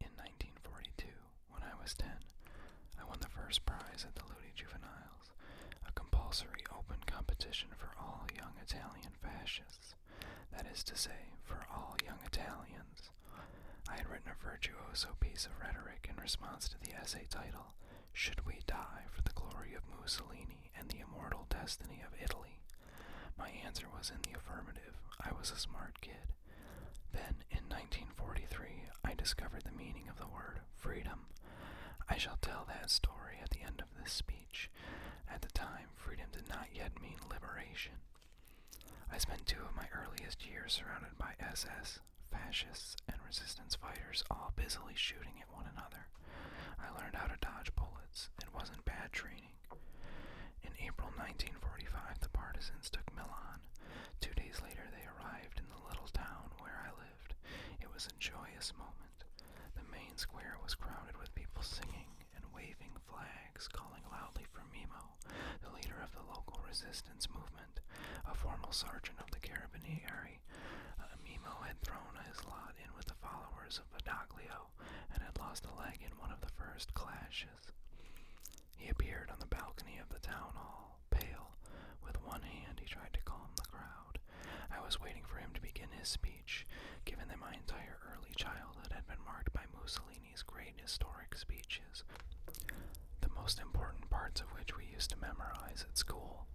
In 1942, when I was 10, I won the first prize at the Ludi Juveniles, a compulsory open competition for all young Italian fascists, that is to say, for all young Italians. I had written a virtuoso piece of rhetoric in response to the essay title, Should We Die for the Glory of Mussolini and the Immortal Destiny of Italy? My answer was in the affirmative. I was a smart kid. Then, in 1943, I discovered the meaning of the word freedom. I shall tell that story at the end of this speech. At the time, freedom did not yet mean liberation. I spent two of my earliest years surrounded by SS, fascists, and resistance fighters all busily shooting at one another. I learned how to dodge bullets. It wasn't bad training. In April 1945, the partisans took Milan. Two days later, they arrived in the little town where I lived. It was a joyous moment. The main square was crowded with people singing and waving flags, calling loudly for Mimo, the leader of the local resistance movement, a former sergeant of the Carabinieri. Uh, Mimo had thrown his lot in with the followers of Badoglio and had lost a leg in one of the first clashes he appeared on the balcony of the town hall, pale. With one hand, he tried to calm the crowd. I was waiting for him to begin his speech, given that my entire early childhood had been marked by Mussolini's great historic speeches, the most important parts of which we used to memorize at school.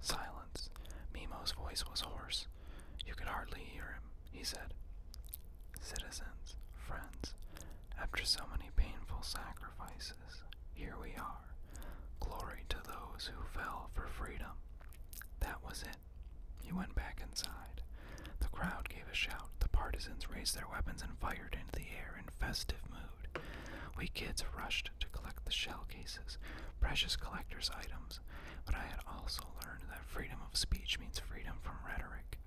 Silence. Mimo's voice was hoarse, you could hardly hear him, he said. Citizens, friends, after so many painful sacrifices, here we are. Glory to those who fell for freedom. That was it. He went back inside. The crowd gave a shout. The partisans raised their weapons and fired into the air in festive mood. We kids rushed to collect the shell cases, precious collector's items, but I had also learned that freedom of speech means freedom from rhetoric.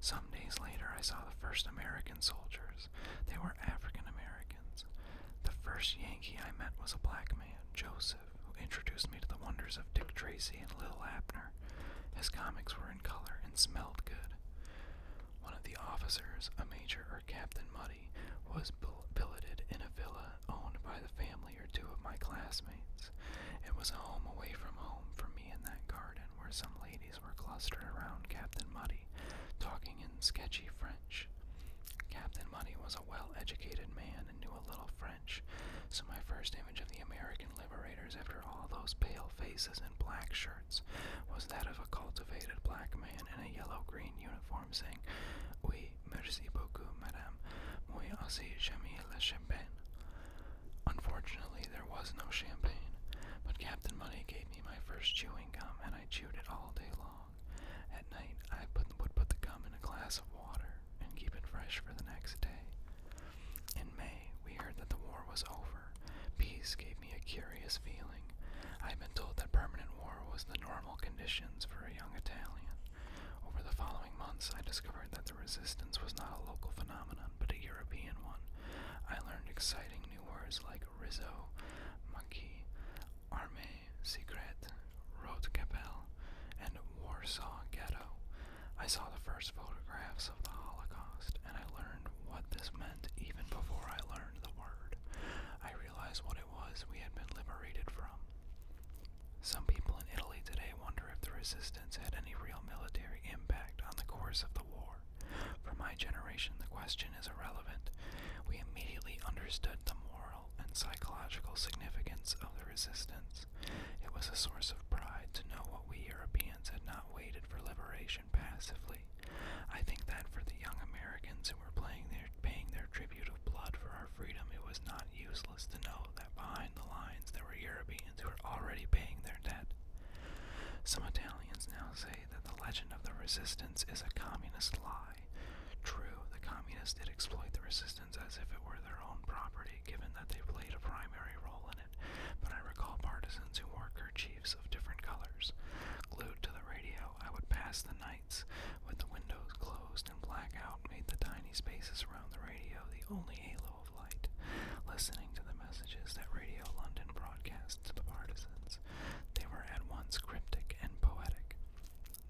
Some days later, I saw the first American soldiers. They were African Americans. The first Yankee I met was a black man, Joseph, who introduced me to the wonders of Dick Tracy and Lil Abner. His comics were in color and smelled good. One of the officers, a major or Captain Muddy, was billeted in a villa owned by the family or two of my classmates. It was a home away from home for me in that garden where some ladies were clustered around Captain Muddy, talking in sketchy French. Captain Muddy was a well educated man and knew a little French, so my first image of the American liberators after all those pale faces and black shirts was that of a cultivated black man in a yellow green uniform saying, Oui, merci beaucoup, madame. Moi aussi, j'aime le champagne. Unfortunately, there was no champagne, but Captain Money gave me my first chewing gum, and I chewed it all day long. At night, I put, would put the gum in a glass of water and keep it fresh for the next day. In May, we heard that the war was over. Peace gave me a curious feeling. I had been told that permanent war was the normal conditions for a young Italian, over the following months, I discovered that the resistance was not a local phenomenon, but a European one. I learned exciting new words like Rizzo, Monkey, Armée secret, Rote Capelle, and Warsaw Ghetto. I saw the first photographs of the Holocaust, and I learned what this meant even before I learned the word. I realized what it was we had been liberated from. Some people in Italy today wonder if the resistance had any real military impact on the course of the war. For my generation, the question is irrelevant. We immediately understood the moral and psychological significance of the resistance. It was a source of pride to know what we Europeans had not waited for liberation passively. I think that for the young Americans who were playing their, paying their tribute of blood for our freedom, it was not useless to know behind the lines there were Europeans who were already paying their debt. Some Italians now say that the legend of the resistance is a communist lie. True, the communists did exploit the resistance as if it were their own property, given that they played a primary role in it, but I recall partisans who wore kerchiefs of different colors. Glued to the radio, I would pass the nights with the windows closed and blackout made the tiny spaces around the radio the only halo yellow light, listening to the messages that Radio London broadcast to the partisans. They were at once cryptic and poetic.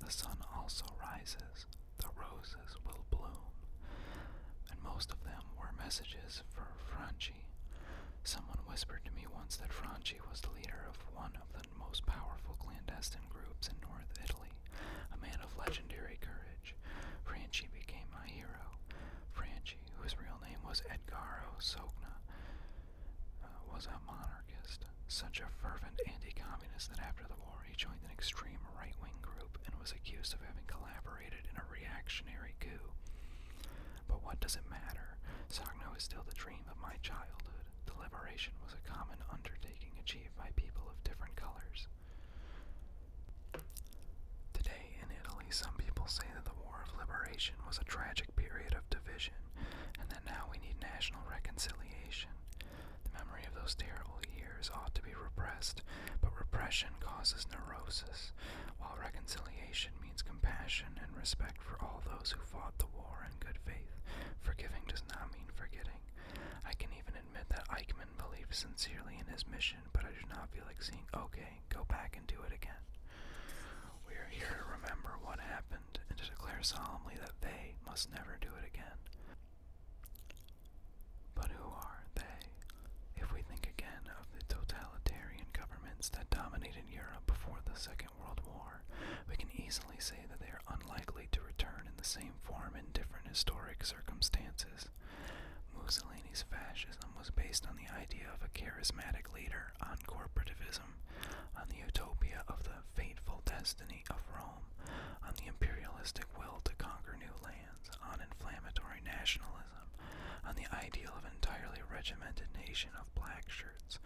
The sun also rises, the roses will bloom. And most of them were messages for Franchi. Someone whispered to me once that Franchi was the leader of one of the most powerful clandestine groups in North Italy a man of legendary courage. Franchi became my hero. Franchi, whose real name was Edgaro Sogna, uh, was a monarchist, such a fervent anti-communist that after the war he joined an extreme right-wing group and was accused of having collaborated in a reactionary coup. But what does it matter? Sogno is still the dream of my childhood. The liberation was a common undertaking achieved by people of different colors. Today in Italy, some people say that the War of Liberation was a tragic period of division and that now we need national reconciliation. The memory of those terrible years ought to be repressed, but repression causes neurosis, while reconciliation means compassion and respect for all those who fought the war in good faith. Forgiving does not mean forgetting. I can even admit that Eichmann believed sincerely in his mission but I do not feel like seeing. Okay, go back and do it again. We are here to remember what happened and to declare solemnly that they must never do it again. But who are they? If we think again of the totalitarian governments that dominated Europe before the Second World War, we can easily say that they are unlikely to return in the same form in different historic circumstances. Mussolini's fascism was based on the idea of a charismatic leader, on corporativism, on the utopia of the fateful destiny of Rome, on the imperialistic will to conquer new lands, on inflammatory nationalism, on the ideal of an entirely regimented nation of black shirts,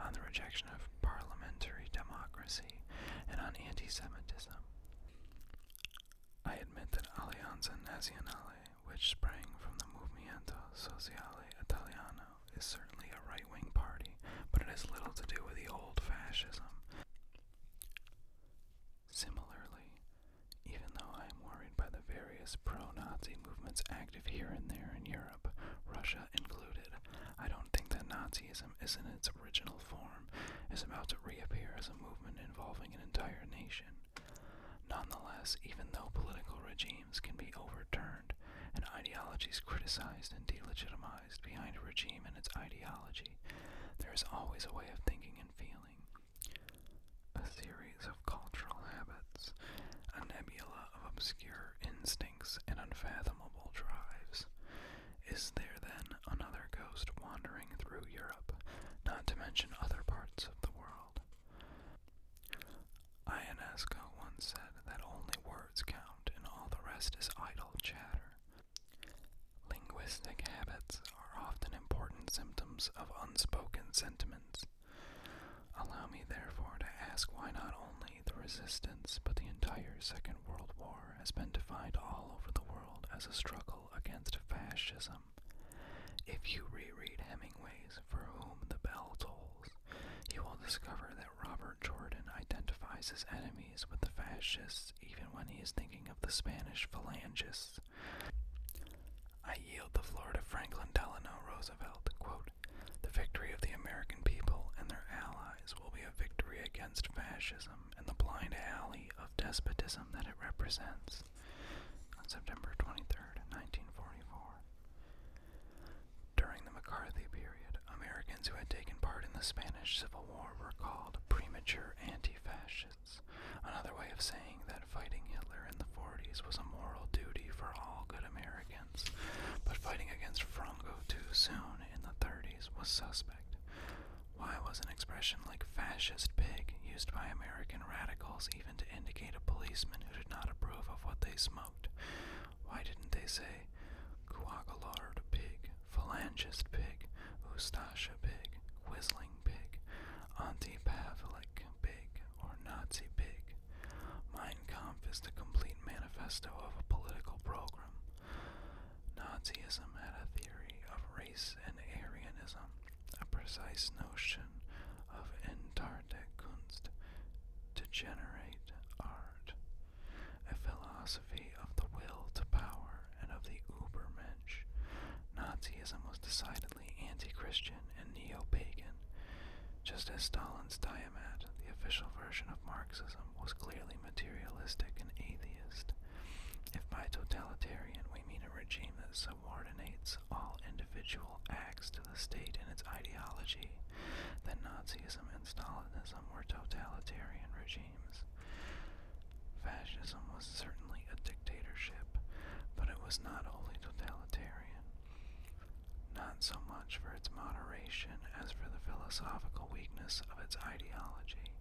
on the rejection of parliamentary democracy, and on anti-Semitism. I admit that Alleanza Nazionale, which sprang from the Movimento Sociale Italiano, is certainly a right wing party, but it has little to do with the old fascism. Similarly, even though I am worried by the various pro Nazi movements active here and there in Europe, Russia included, I don't think that Nazism is in its original form is about to reappear as a movement involving an entire nation. Nonetheless, even though political regimes can be overturned and ideologies criticized and delegitimized behind a regime and its ideology, there is always a way of thinking and feeling. A series of cultural habits, a nebula of obscure instincts and unfathomable drives. Is there then another ghost wandering through Europe, not to mention other parts of the world? Ionesco once said that only words count and all the rest is idle chatter. Linguistic habits are often important symptoms of unspoken sentiments. Allow me, therefore, to ask why not only the resistance, but the entire Second World War has been defined all over the world as a struggle against fascism. If you reread Hemingway's For Whom the Bell Tolls, you will discover that Robert Jordan identifies his enemies with the fascists even when he is thinking of the Spanish phalangists. I yield the floor to Franklin Delano Roosevelt. the victory of the American people and their allies will be a victory against fascism in the blind alley of despotism that it represents on September 23, 1944. During the McCarthy period, Americans who had taken part in the Spanish Civil War were called premature anti fascists, another way of saying that fighting Hitler in the 40s was a moral duty for all good Americans, but fighting against Franco too soon in the 30s was suspect. Why was an expression like fascist pig used by American radicals even to indicate a policeman who did not approve of what they smoked? Why didn't they say coagulard pig, phalangist pig, Ustasha pig, whistling pig, anti-Pavlik pig, or Nazi pig? Mein Kampf is the complete manifesto of a political program. Nazism had a theory of race and Aryanism, a precise notion of entarte Kunst, to generate art, a philosophy of the will to power and of the Übermensch. Nazism was decidedly anti Christian and neo pagan, just as Stalin's Tiamat, the official version of Marxism, was clearly materialistic and atheist. If by totalitarian we mean a regime that subordinates all individual acts to the state and its ideology, then Nazism and Stalinism were totalitarian regimes. Fascism was certainly a dictatorship, but it was not wholly totalitarian. Not so much for its moderation as for the philosophical weakness of its ideology.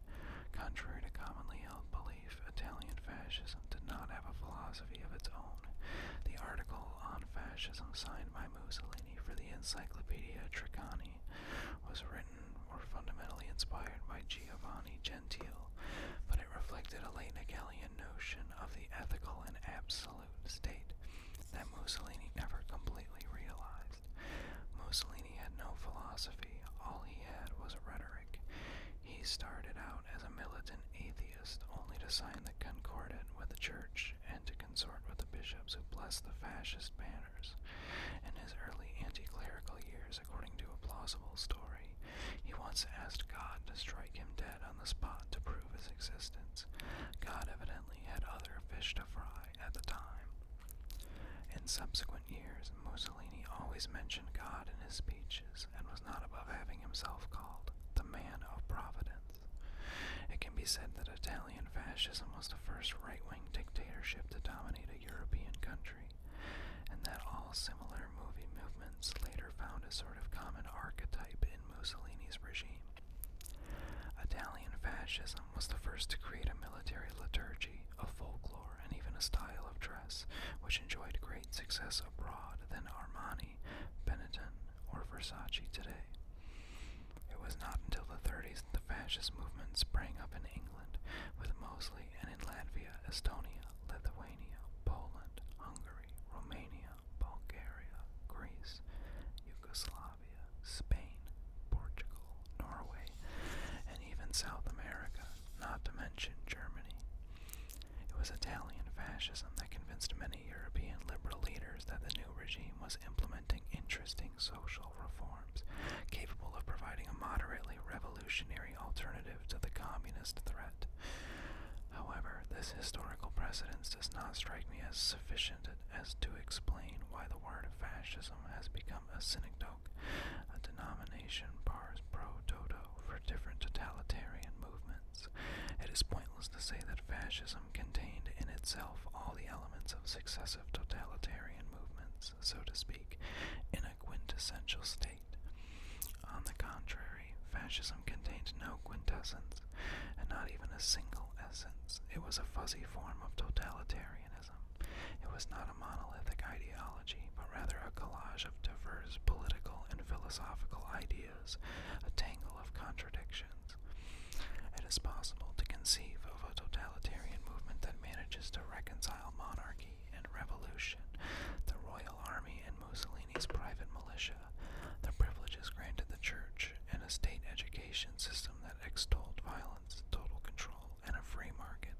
Contrary to commonly held belief, Italian fascism did not have a philosophy of its own. The article on fascism signed by Mussolini for the Encyclopedia Tricani was written or fundamentally inspired by Giovanni Gentile, but it reflected a late Hegelian notion of the ethical and absolute state that Mussolini never completely realized. Mussolini he had no philosophy, all he had was rhetoric. He started out as a militant atheist, only to sign the Concordat with the Church and to consort with the bishops who blessed the fascist banners. In his early anti clerical years, according to a plausible story, he once asked God to strike him dead on the spot to prove his existence. God evidently had other fish to fry at the time. In subsequent years, Mussolini always mentioned God in his speeches and was not above having himself called the man of providence. It can be said that Italian fascism was the first right wing dictatorship to dominate a European country, and that all similar movie movements later found a sort of common archetype in Mussolini's regime. Italian fascism was the first to create a military liturgy a folklore, and even a style of dress which enjoyed great success abroad than Armani, Benetton, or Versace today. It was not until the 30s that the fascist movements sprang up in England, with Mosley, and in Latvia, Estonia, Lithuania, Poland, Hungary, Romania, Bulgaria, Greece, Yugoslavia, Spain, Portugal, Norway, even South America, not to mention Germany. It was Italian fascism that convinced many European liberal leaders that the new regime was implementing interesting social reforms capable of providing a moderately revolutionary alternative to the communist threat. However, this historical precedence does not strike me as sufficient as to explain why the word fascism has become a synagogue, a denomination bars pro toto for different totalitarian movements. It is pointless to say that fascism contained in itself all the elements of successive totalitarian movements, so to speak, in a quintessential state. On the contrary, fascism contained no quintessence, and not even a single essence. It was a fuzzy form of totalitarianism. It was not a monolithic ideology, but rather a collage of diverse political and philosophical ideas, a tangle of contradictions. It is possible to conceive of a totalitarian movement that manages to reconcile monarchy and revolution, the royal army and Mussolini's private militia, the privileges granted the church, and a state education system that extolled violence, and total control, and a free market,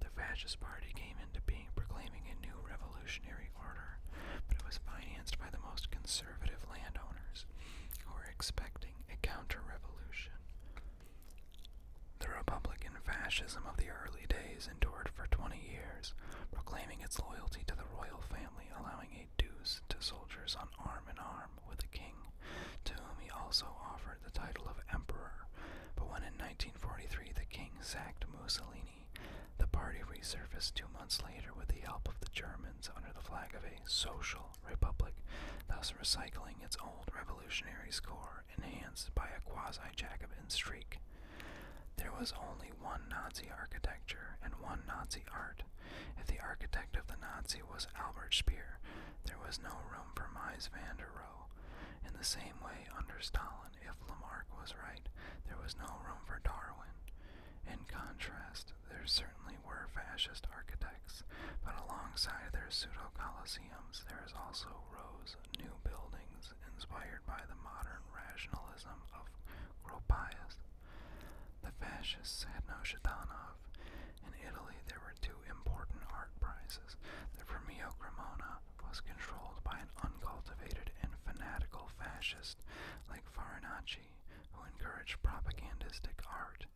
the Fascist Party came into being proclaiming a new revolutionary order, but it was financed by the most conservative landowners who were expecting a counter revolution. The Republican fascism of the early days endured for 20 years, proclaiming its loyalty to the royal family, allowing a dues to soldiers on arm in arm with the king, to whom he also offered the title of emperor, but when in 1943 the king sacked Mussolini, the party resurfaced two months later with the help of the Germans under the flag of a social republic, thus recycling its old revolutionary score enhanced by a quasi-Jacobin streak. There was only one Nazi architecture and one Nazi art. If the architect of the Nazi was Albert Speer, there was no room for Mies van der Rohe. In the same way, under Stalin, if Lamarck was right, there was no room for Darwin. In contrast, there certainly were fascist architects, but alongside their pseudo coliseums, there is also rose new buildings inspired by the modern rationalism of Gropius. The fascists had no Shatanov. In Italy, there two important art prizes. The Premio Cremona was controlled by an uncultivated and fanatical fascist like Farinacci, who encouraged propagandistic art.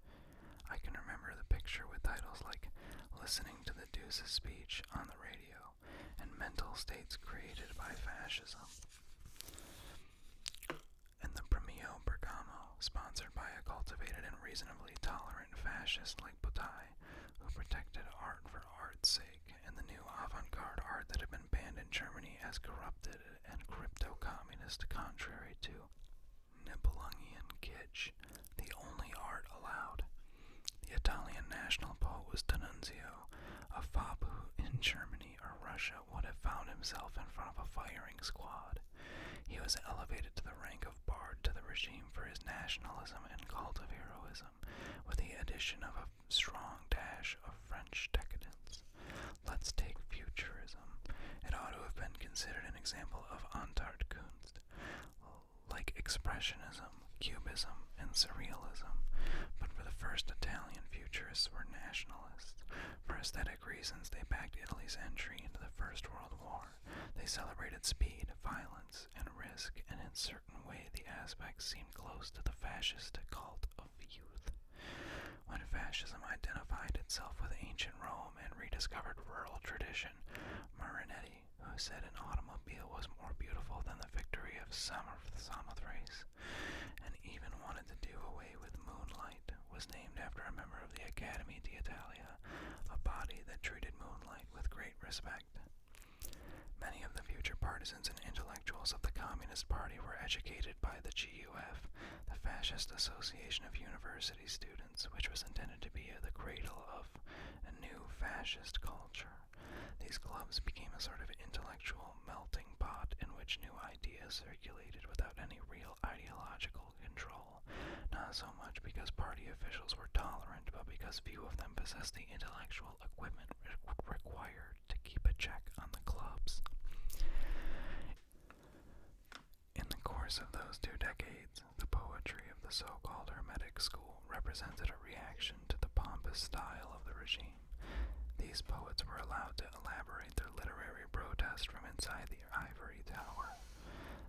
I can remember the picture with titles like Listening to the Deuce's Speech on the Radio and Mental States Created by Fascism. And the Premio Bergamo, sponsored by a cultivated and reasonably tolerant fascist like like who protected art for art's sake, and the new avant-garde art that had been banned in Germany as corrupted and crypto-communist contrary to Nibelungian kitsch, the only art allowed. The Italian national poet was D'Annunzio, a fop who in Germany or Russia would have found himself in front of a firing squad. He was elevated to the rank of rank to the regime for his nationalism and cult of heroism, with the addition of a strong dash of French decadence. Let's take futurism. It ought to have been considered an example of Antart Kunst. Like Expressionism, Cubism, and Surrealism, but for the first Italian futurists were nationalists. For aesthetic reasons, they backed Italy's entry into the First World War they celebrated speed, violence, and risk, and in certain way the aspects seemed close to the fascist cult of youth. When fascism identified itself with ancient Rome and rediscovered rural tradition, Marinetti, who said an automobile was more beautiful than the victory of Samothrace, and even wanted to do away with moonlight, was named after a member of the Academy d'Italia, a body that treated moonlight with great respect. Many of the future partisans and intellectuals of the Communist Party were educated by the GUF, the Fascist Association of University Students, which was intended to be the cradle of a new fascist culture. These clubs became a sort of intellectual melting pot in which new ideas circulated without any real ideological control not so much because party officials were tolerant, but because few of them possessed the intellectual equipment required to keep a check on the clubs. In the course of those two decades, the poetry of the so called Hermetic school represented a reaction to the pompous style of the regime. These poets were allowed to elaborate their literary protest from inside the ivory tower.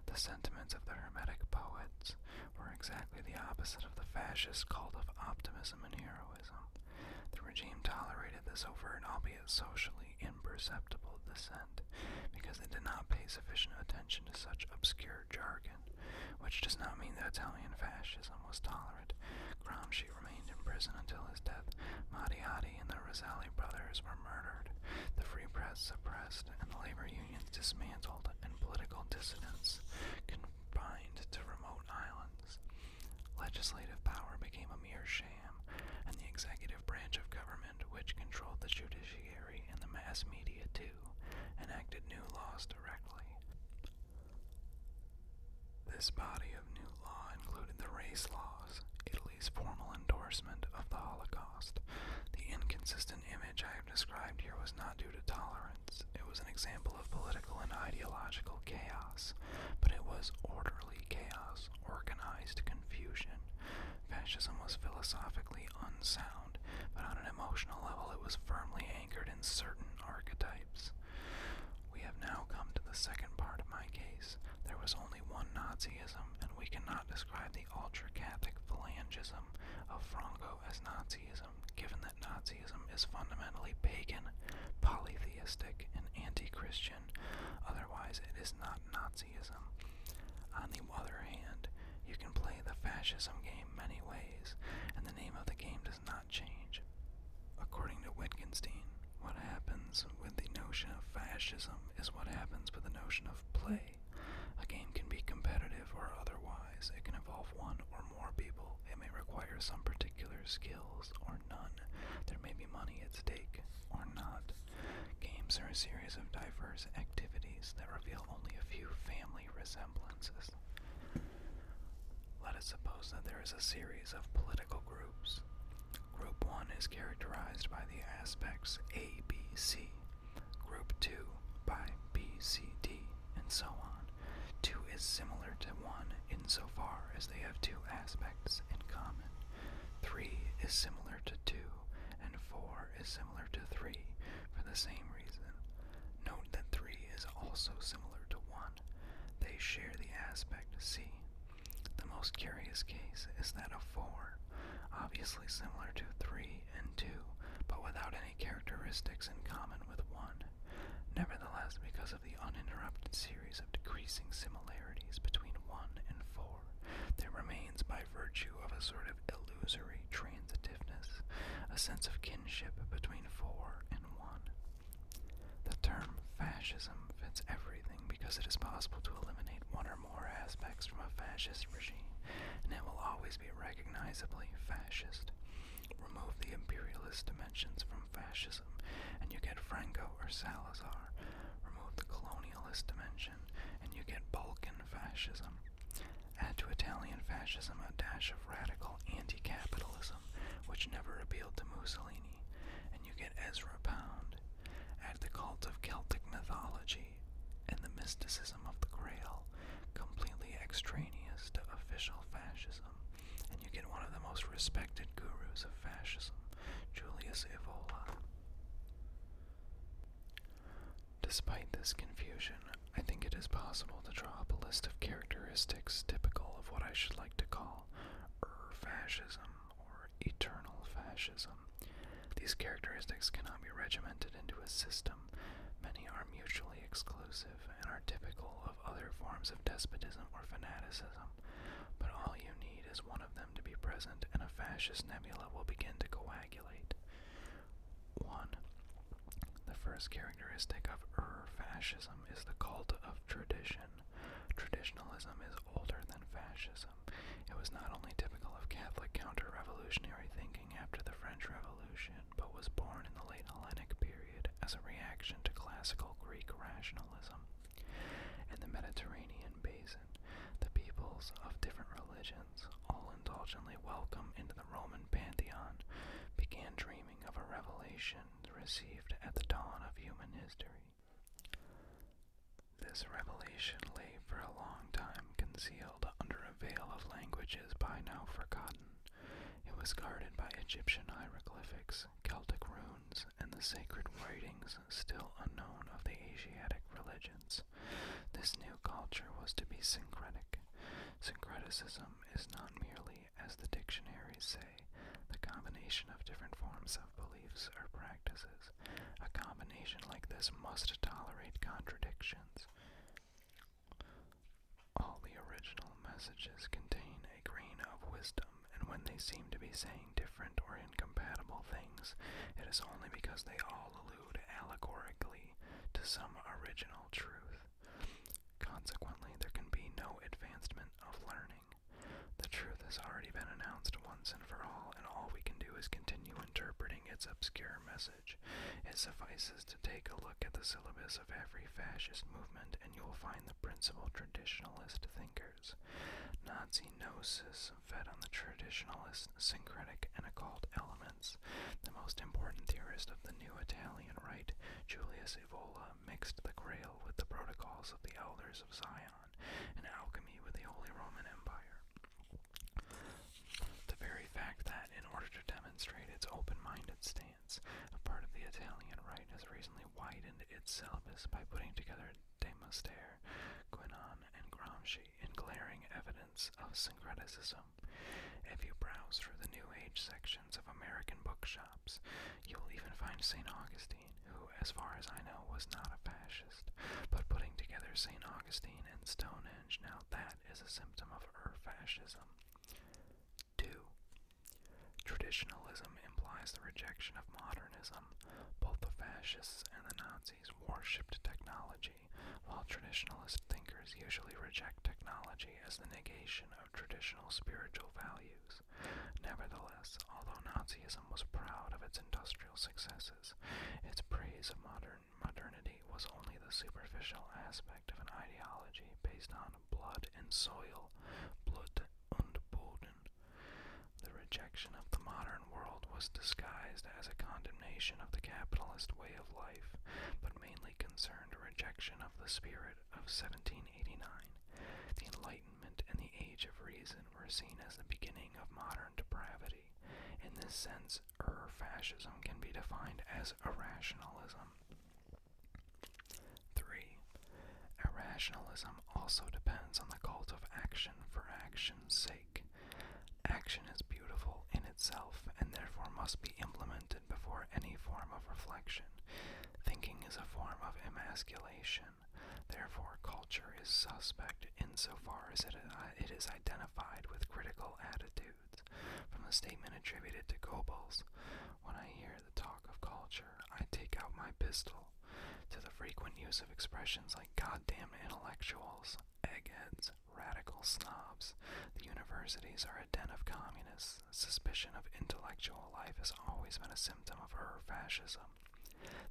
The sentiments of the Hermetic poets were exactly the opposite of the fascist cult of optimism and heroism. The regime tolerated this overt, albeit socially imperceptible, dissent because they did not pay sufficient attention to such obscure jargon, which does not mean that Italian fascism was tolerant. Gramsci remained in prison until his death. Mattiati and the Roselli brothers were murdered. The free press suppressed, and the labor union dismantled and political dissidents confined to remote islands. Legislative power became a mere sham, and the executive branch of government, which controlled the judiciary and the mass media too, enacted new laws directly. This body of new law included the race laws, Italy's formal endorsement of the Holocaust, the inconsistent image described here was not due to tolerance. It was an example of political and ideological chaos, but it was orderly chaos, organized confusion. Fascism was philosophically unsound, but on an emotional level it was firmly anchored in certain archetypes. We have now come to the second part of my case. There was only one Nazism, and we cannot describe the ultra Catholic phalangism of Franco as Nazism, given that Nazism is fundamentally pagan, polytheistic, and anti Christian, otherwise, it is not Nazism. On the other hand, you can play the fascism game many ways, and the name of the game does not change. According to Wittgenstein, what happens with the notion of fascism is what happens with the notion of play play. A game can be competitive or otherwise. It can involve one or more people. It may require some particular skills or none. There may be money at stake or not. Games are a series of diverse activities that reveal only a few family resemblances. Let us suppose that there is a series of political groups. Group 1 is characterized by the aspects A, B, C. Group 2 by B, C, D, and so on. 2 is similar to 1 insofar as they have two aspects in common. 3 is similar to 2, and 4 is similar to 3 for the same reason. Note that 3 is also similar to 1. They share the aspect C. The most curious case is that of 4, obviously similar to 3 and two, but without any characteristics in common with one. Nevertheless, because of the uninterrupted series of decreasing similarities between one and four, there remains, by virtue of a sort of illusory transitiveness, a sense of kinship between four and one. The term fascism fits everything because it is possible to eliminate one or more aspects from a fascist regime, and it will always be recognizably fascist. Remove the imperialist dimensions from fascism, and you get Franco or Salazar. Remove the colonialist dimension, and you get Balkan fascism. Add to Italian fascism a dash of radical anti capitalism, which never appealed to Mussolini, and you get Ezra Pound. Add the cult of Celtic mythology and the mysticism of the Grail, completely extraneous to official fascism, and you get one of the most respected gurus of fascism, Julius Evola. Despite this confusion, I think it is possible to draw up a list of characteristics typical of what I should like to call er fascism or eternal fascism, these characteristics cannot be regimented into a system. Many are mutually exclusive and are typical of other forms of despotism or fanaticism, but all you need is one of them to be present, and a fascist nebula will begin to coagulate. 1. The first characteristic of Ur fascism is the cult of tradition. Traditionalism is older than fascism. It was not only typical of Catholic counter revolutionary thinking after the French Revolution, but was born in the late Hellenic period as a reaction to classical Greek rationalism. In the Mediterranean basin, the peoples of different religions, all indulgently welcome into the Roman pantheon, began dreaming of a revelation received at the dawn of human history. This revelation lay for a long time concealed under a veil of languages by now forgotten. It was guarded by Egyptian hieroglyphics, Celtic runes, and the sacred writings still unknown of the Asiatic religions. This new culture was to be syncretic. Syncretism is not merely, as the dictionaries say, the combination of different forms of beliefs or practices. A combination like this must tolerate contradictions. All the original messages contain a grain of wisdom, and when they seem to be saying different or incompatible things, it is only because they all allude allegorically to some original truth. Consequently, there can be no advancement of learning. The truth has already been announced once and for all, and all we can do is continue interpreting its obscure message. It suffices to take a look at the syllabus of every fascist movement, and you will find the principal traditionalist thinkers. Nazi gnosis fed on the traditionalist, syncretic, and occult elements. The most important theorist of the new Italian right, Julius Evola, mixed the Grail with the protocols of the Elders of Zion and alchemy with the Holy Roman Empire. The very fact that, in order to demonstrate its open minded stance, a part of the Italian right has recently widened its syllabus by putting together De Master, Quinon, and Gramsci in glaring evidence of syncretism. If you browse through the New Age sections of American bookshops, you will even find St. Augustine, who, as far as I know, was not a fascist. But putting together St. Augustine and Stonehenge, now that is a symptom of Ur fascism. 2. Traditionalism implies the rejection of modernism. Both the fascists and the Nazis worshipped technology, while traditionalist thinkers usually reject technology as the negation of traditional spiritual values. Nevertheless, although Nazism was proud of its industrial successes, its praise of modern modernity was only the superficial aspect of an ideology based on blood and soil, Blut und Boden. The rejection of the modern world was disguised as a condemnation of the capitalist way of life, but mainly concerned a rejection of the spirit of 1789. The Enlightenment and the Age of Reason were seen as the beginning of modern depravity. In this sense, or fascism can be defined as irrationalism. 3. Irrationalism also depends on the cult of action for action's sake. Action is beautiful in itself and therefore must be implemented before any form of reflection. Thinking is a form of emasculation. Therefore, culture is suspect insofar as it, uh, it is identified with critical attitude. From a statement attributed to Goebbels, when I hear the talk of culture, I take out my pistol. To the frequent use of expressions like goddamn intellectuals, eggheads, radical snobs, the universities are a den of communists. Suspicion of intellectual life has always been a symptom of her fascism.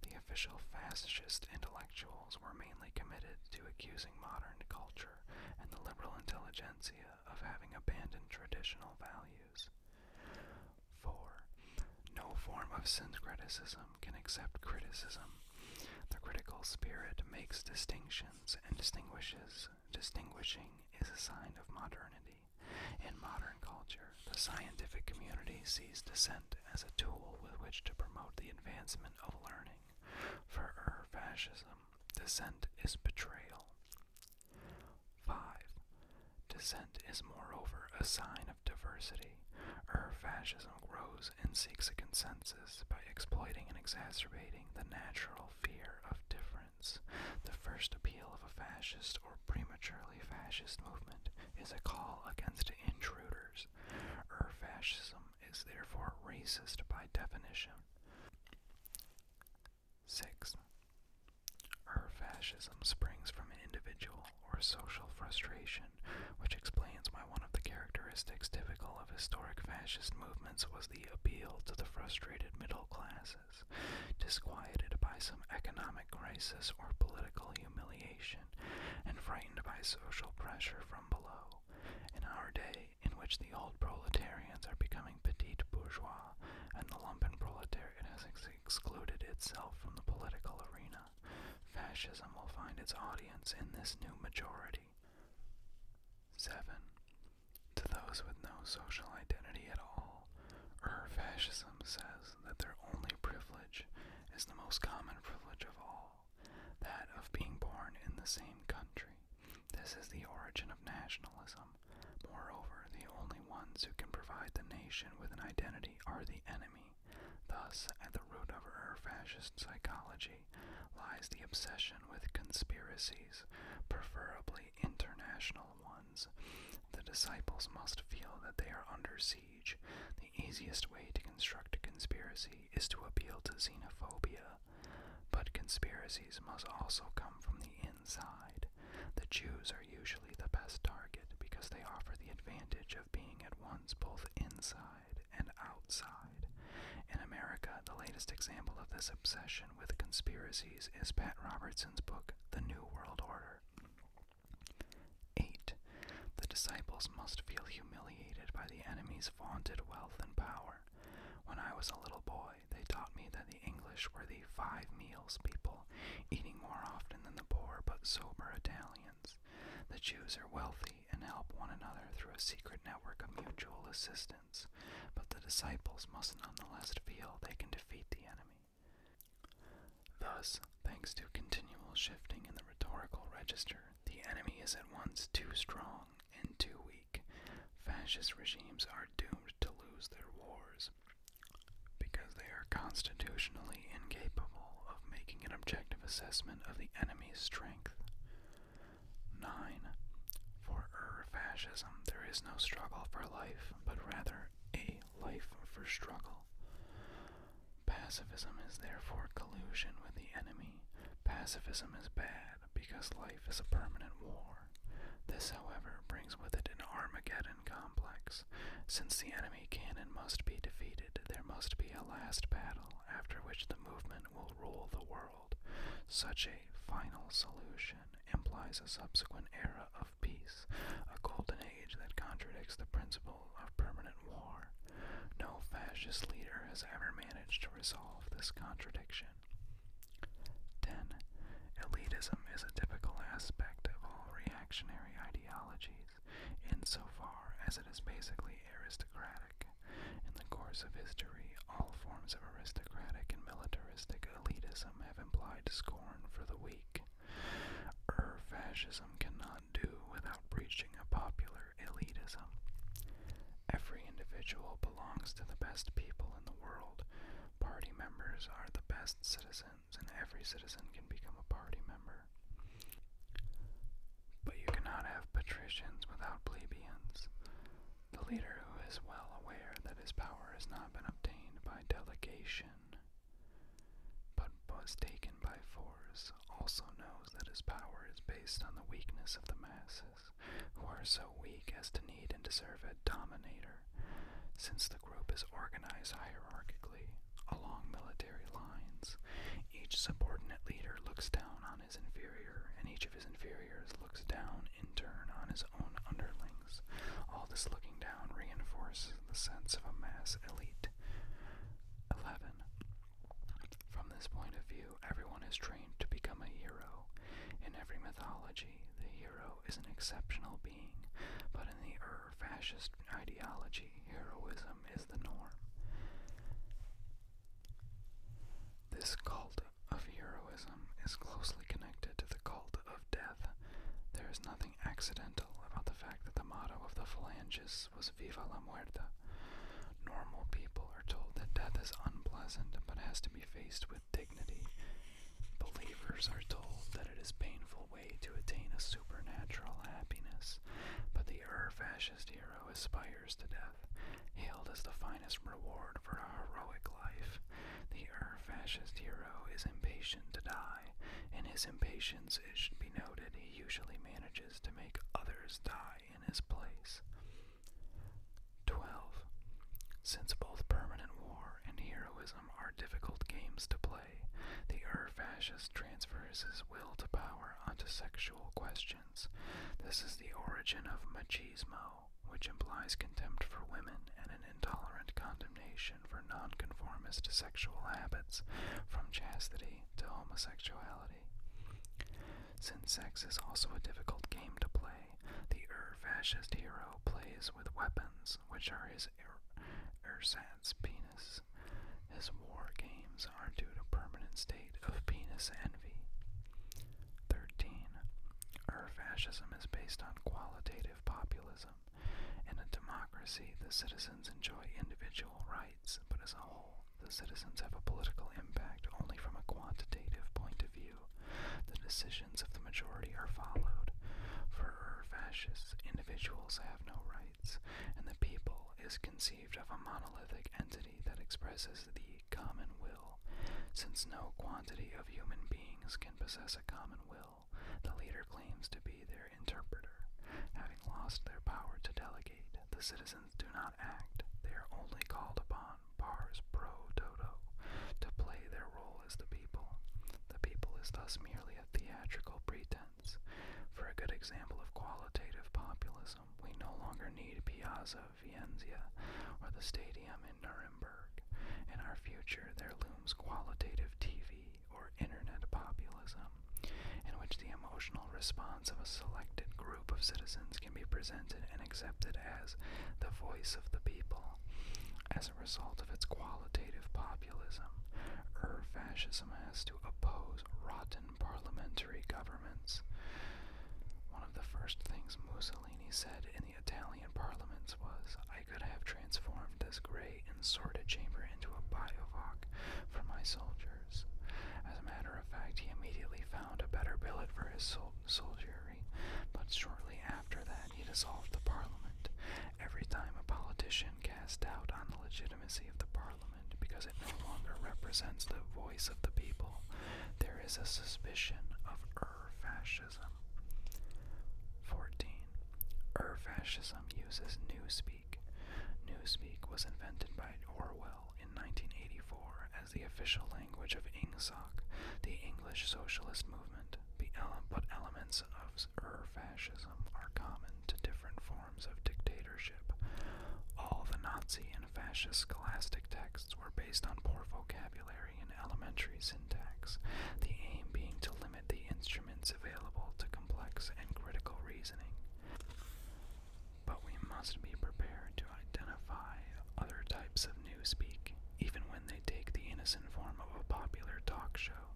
The official fascist intellectuals were mainly committed to accusing modern culture and the liberal intelligentsia of having abandoned traditional values. 4. No form of syncretism can accept criticism. The critical spirit makes distinctions and distinguishes. Distinguishing is a sign of modernity. In modern culture, the scientific community sees dissent as a tool with which to promote the advancement of learning. For ur fascism, dissent is betrayal. 5. Dissent is moreover a sign of diversity. Ur fascism grows and seeks a consensus by exploiting and exacerbating the natural fear of difference. The first appeal of a fascist or prematurely fascist movement is a call against intruders. Ur fascism is therefore racist by definition. 6. Ur fascism springs from individual or social frustration, which explains why one of the characteristics typical of historic fascist movements was the appeal to the frustrated middle classes, disquieted by some economic crisis or political humiliation, and frightened by social pressure from below. In our day, in which the old proletarians are becoming petit bourgeois and the lumpen proletariat has excluded itself from the political arena. Fascism will find its audience in this new majority. 7. To those with no social identity at all, or Fascism says that their only privilege is the most common privilege of all that of being born in the same country. This is the origin of nationalism. Moreover, the only ones who can provide the nation with an identity are the enemy. Thus, at the root of our fascist psychology lies the obsession with conspiracies, preferably international ones. The disciples must feel that they are under siege. The easiest way to construct a conspiracy is to appeal to xenophobia, but conspiracies must also come from the inside. The Jews are usually the best target because they offer the advantage of being at once both inside and outside. In America, the latest example of this obsession with conspiracies is Pat Robertson's book, The New World Order. 8. The disciples must feel humiliated by the enemies vaunted wealth and power. When I was a little boy, they taught me that the English were the five meals people, eating more often than the poor but sober Italians. The Jews are wealthy and help one another through a secret network of mutual assistance, but the disciples must nonetheless feel they can defeat the enemy. Thus, thanks to continual shifting in the rhetorical register, the enemy is at once too strong and too weak, fascist regimes are doomed to lose their wars because they are constitutionally incapable of making an objective assessment of the enemy's strength. 9. For Ur er fascism, there is no struggle for life, but rather a life for struggle. Pacifism is therefore collusion with the enemy. Pacifism is bad because life is a permanent war. This, however, brings with it an Armageddon complex. Since the enemy can and must be defeated, there must be a last battle after which the movement will rule the world. Such a final solution implies a subsequent era of peace, a golden age that contradicts the principle of permanent war. No fascist leader has ever managed to resolve this contradiction. 10. Elitism is a typical aspect of all reactionary ideologies, so far as it is basically aristocratic. In the course of history, all forms of aristocratic and militaristic elitism have implied scorn for the weak. Ur er, fascism cannot do without outreaching a popular elitism. Every individual belongs to the best people in the world. Party members are the best citizens, and every citizen can become a party member. But you cannot have patricians without plebeians. The leader who is well aware that his power has not been obtained by delegation, but was taken by force, also knows that his power is based on the weakness of the masses who are so weak as to need and deserve a dominator, since the group is organized hierarchically along military lines. Each subordinate leader looks down on his inferior, and each of his inferiors looks down in turn on his own underlings. All this looking down reinforces the sense of a mass elite. 11. From this point of view, everyone is trained to become a hero. In every mythology, the hero is an exceptional being, but in the fascist ideology, heroism is the norm. This cult of heroism is closely connected to the cult of death. There is nothing accidental about the fact that the motto of the Phalangists was. Viva la muerte! Normal people are told that death is unpleasant but has to be faced with dignity. Believers are told that it is a painful way to attain a supernatural happiness, but the ur-fascist hero aspires to death, hailed as the finest reward for a heroic life. The ur-fascist hero is impatient to die. In his impatience, it should be noted, he usually manages to make others die in his place. 12. Since both permanent war and heroism are difficult games to play, the Ur transfers his will to power onto sexual questions. This is the origin of machismo, which implies contempt for women and an intolerant condemnation for nonconformist sexual habits, from chastity to homosexuality. Since sex is also a difficult game to play, the Ur fascist hero plays with weapons, which are his ersatz penis. His war games are due to permanent state of penis envy. 13. Ur fascism is based on qualitative populism. In a democracy, the citizens enjoy individual rights but as a whole, the citizens have a political impact only from a quantitative point of view. The decisions of the majority are followed. For fascist individuals have no rights, and the people is conceived of a monolithic entity that expresses the common will. Since no quantity of human beings can possess a common will, the leader claims to be their interpreter. Having lost their power to delegate, the citizens do not act, they are only called upon, pars pro toto, to play their role as the people. The people is thus merely a theatrical pretense. For a good example of qualitative populism, we no longer need Piazza Vienzia or the stadium in Nuremberg. In our future, there looms qualitative TV or internet populism, in which the emotional response of a selected group of citizens can be presented and accepted as the voice of the people. As a result of its qualitative populism, or fascism has to oppose rotten parliamentary governments. One of the first things Mussolini said in the Italian parliaments was, I could have transformed this grey and sordid chamber into a biovac for my soldiers. As a matter of fact, he immediately found a better billet for his soldiery, but shortly after that he dissolved the parliament. Every time a politician casts doubt on the legitimacy of the parliament because it no longer represents the voice of the people, there is a suspicion of ur-fascism. 14. Ur-fascism uses newspeak. Newspeak was invented by Orwell in 1984 as the official language of INGSOC, the English Socialist Movement, but elements of Ur-fascism er are common to different forms of dictatorship. All the Nazi and fascist scholastic texts were based on poor vocabulary and elementary syntax, the aim being to limit the instruments available to complex and critical reasoning. But we must be prepared to identify other types of newspeak, even when they take the innocent form of a popular talk show.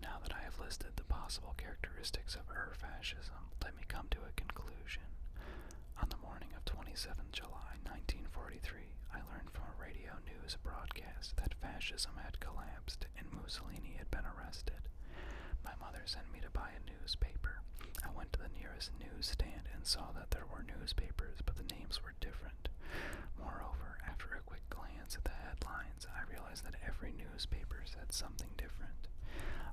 Now that I have listed the possible characteristics of Ur fascism, let me come to a conclusion. On the morning of 27 July 1943, I learned from a radio news broadcast that fascism had collapsed and Mussolini had been arrested. My mother sent me to buy buy a newspaper. I went to the nearest newsstand and saw that there were newspapers, but the names were different. Moreover, after a quick glance at the headlines, I realized that every newspaper said something different.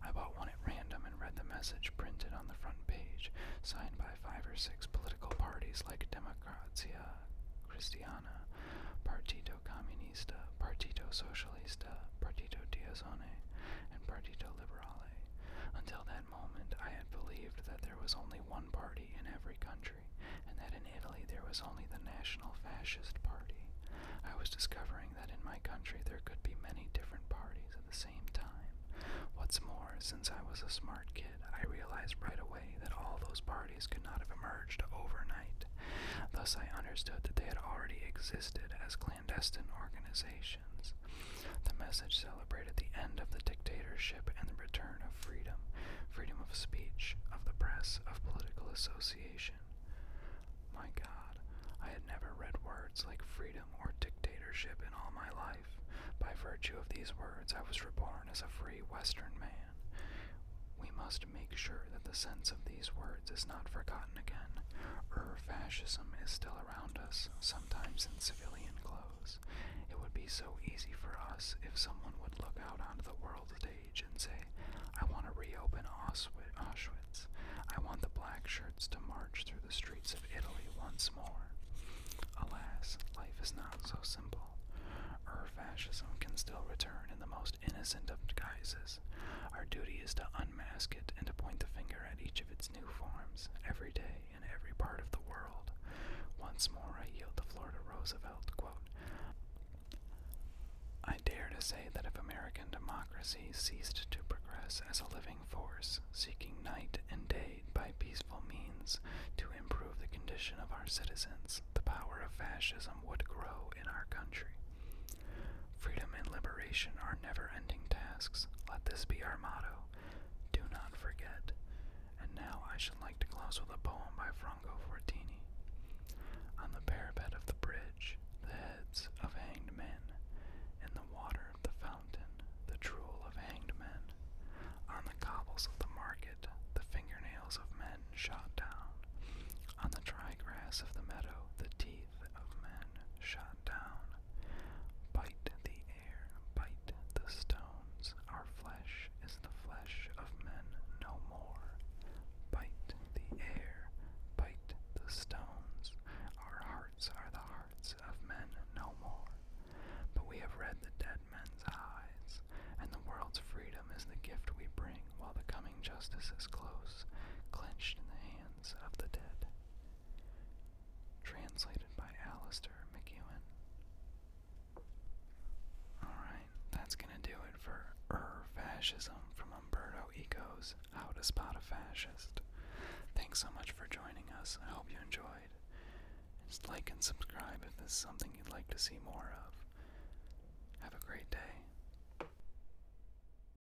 I bought one at random and read the message printed on the front page, signed by five or six political parties like Democrazia Cristiana, Partido Comunista, Partido Socialista, uh, partito Diazone, and Partito Liberale. Until that moment, I had believed that there was only one party in every country, and that in Italy there was only the National Fascist Party. I was discovering that in my country there could be many different parties at the same time. What's more, since I was a smart kid, I realized right away that all those parties could not have emerged overnight. Thus, I understood that they had already existed as clandestine organizations. The message celebrated the end of the dictatorship and the return of freedom freedom of speech, of the press, of political association. My God, I had never read words like freedom or dictatorship in all my life. By virtue of these words, I was reborn as a free Western man. We must make sure that the sense of these words is not forgotten again. Ur fascism is still around us, sometimes in civilian clothes. It would be so easy for us if someone would look out onto the world stage and say, I want to reopen Auschwitz. I want the black shirts to march through the streets of Italy once more. Alas, life is not so simple. Ur fascism can still return in the most innocent of guises. Our duty is to Mask it and to point the finger at each of its new forms, every day in every part of the world. Once more I yield the floor to Roosevelt. I dare to say that if American democracy ceased to progress as a living force, seeking night and day by peaceful means to improve the condition of our citizens, the power of fascism would grow in our country. Freedom and liberation are never ending tasks. Let this be our motto. Do not forget. And now I should like to close with a poem by Franco Fortini. On the parapet of the bridge, the heads of hanged men. In the water of the fountain, the drool of hanged men. On the cobbles of the market, the fingernails of men shot down. On the dry grass of the meadow, the teeth of men shot down. Bite the air, bite the stones. Our flesh is the flesh of men no more. Bite the air, bite the stones. Our hearts are the hearts of men no more. But we have read the dead men's eyes, and the world's freedom is the gift we bring while the coming justice is close, clenched in the hand of the Dead. Translated by Alistair McEwen. Alright, that's gonna do it for Ur Fascism from Umberto Eco's How to Spot a Fascist. Thanks so much for joining us. I hope you enjoyed. Just like and subscribe if this is something you'd like to see more of. Have a great day.